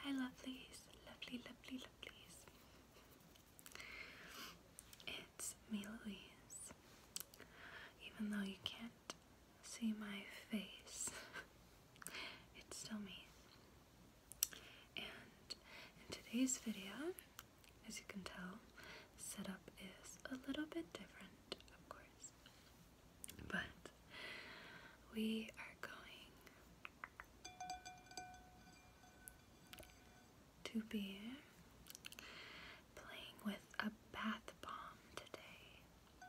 Hi, lovelies, lovely, lovely, lovelies. It's me, Louise. Even though you can't see my face, it's still me. And in today's video, as you can tell, the setup is a little bit different, of course. But we are going to be playing with a bath bomb today.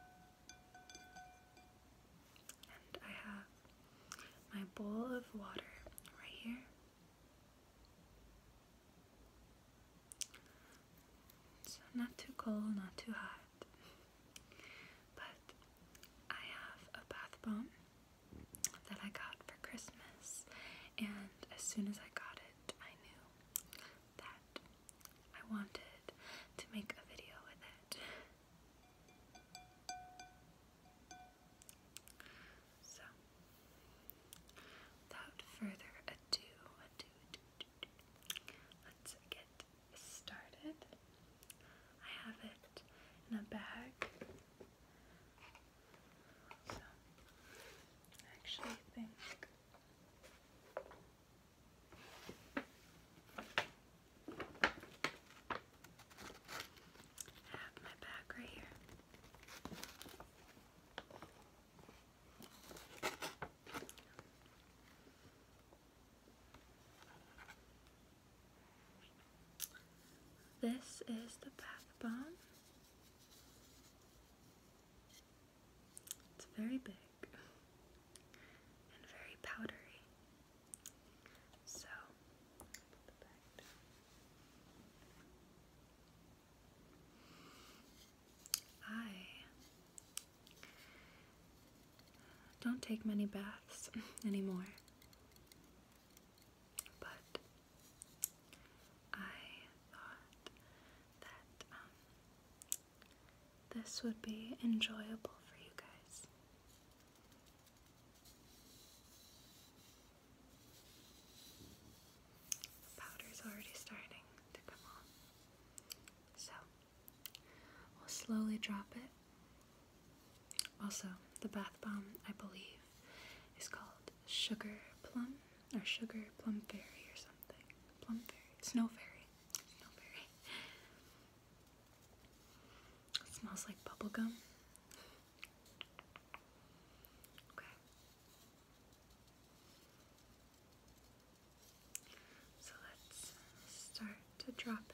And I have my bowl of water right here. So not too cold, not too hot. But I have a bath bomb that I got for Christmas, and as soon as I got it, I knew that I wanted to make a video with it. So Without further ado, let's get started. I have it in a bag. So, I think. I have my bag right here. This is the bath bomb. It's very big and very powdery. So, I don't take many baths anymore, but I thought that um, this would be enjoyable for you guys. The is already starting to come on. So, we'll slowly drop it. Also, the bath bomb, I believe, is called Sugar Plum or Sugar Plum Fairy or something. Plum Fairy, Snow Fairy, Snow Fairy. It smells like bubble gum. Okay. So let's start to drop it.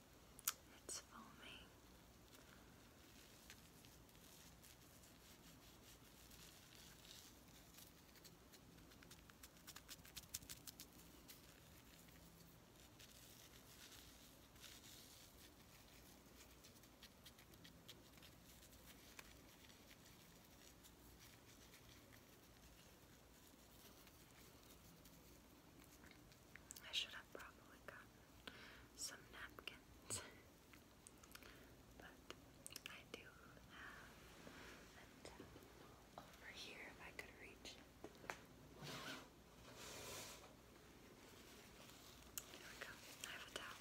It's foamy. I should have probably gotten some napkins. but I do have a towel over here if I could reach it. we go. I have a towel.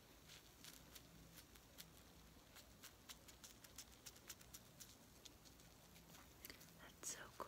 That's so cool.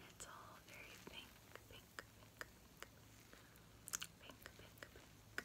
It's all very pink, pink, pink, pink, pink, pink,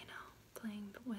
You know, playing with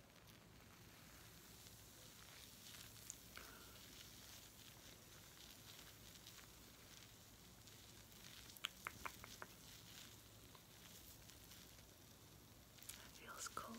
It feels cold.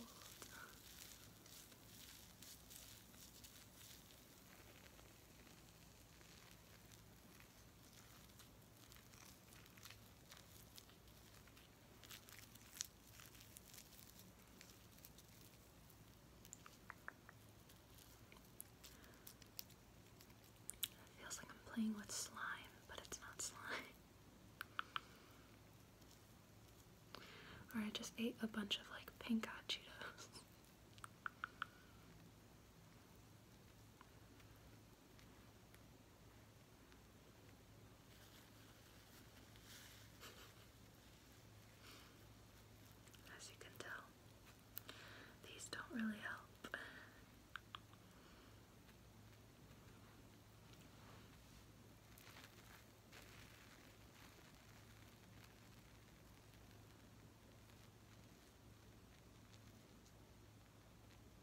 It feels like I'm playing with slime, but it's not slime. or I just ate a bunch of like pink hot Cheetos. As you can tell, these don't really help.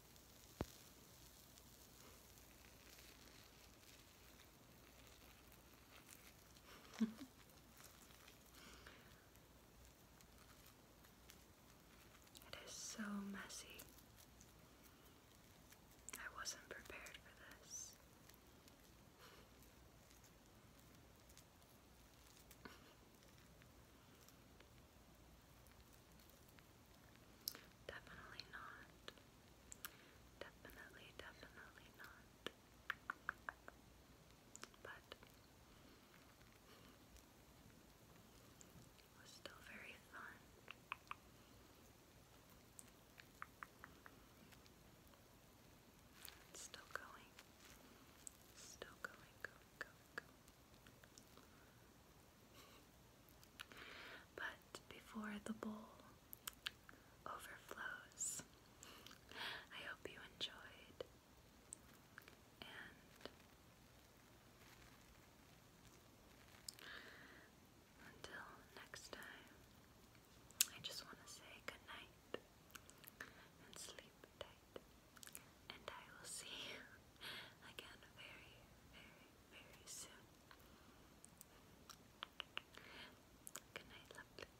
it is so messy. I wasn't prepared for this. Definitely not. Definitely, definitely not. But it was still very fun. still going. Still going, going, going, going. But before the bowl overflows, I hope you enjoyed. And until next time, I just want to say good night and sleep tight and I will see you again very, very, very soon. Good night, lovelies.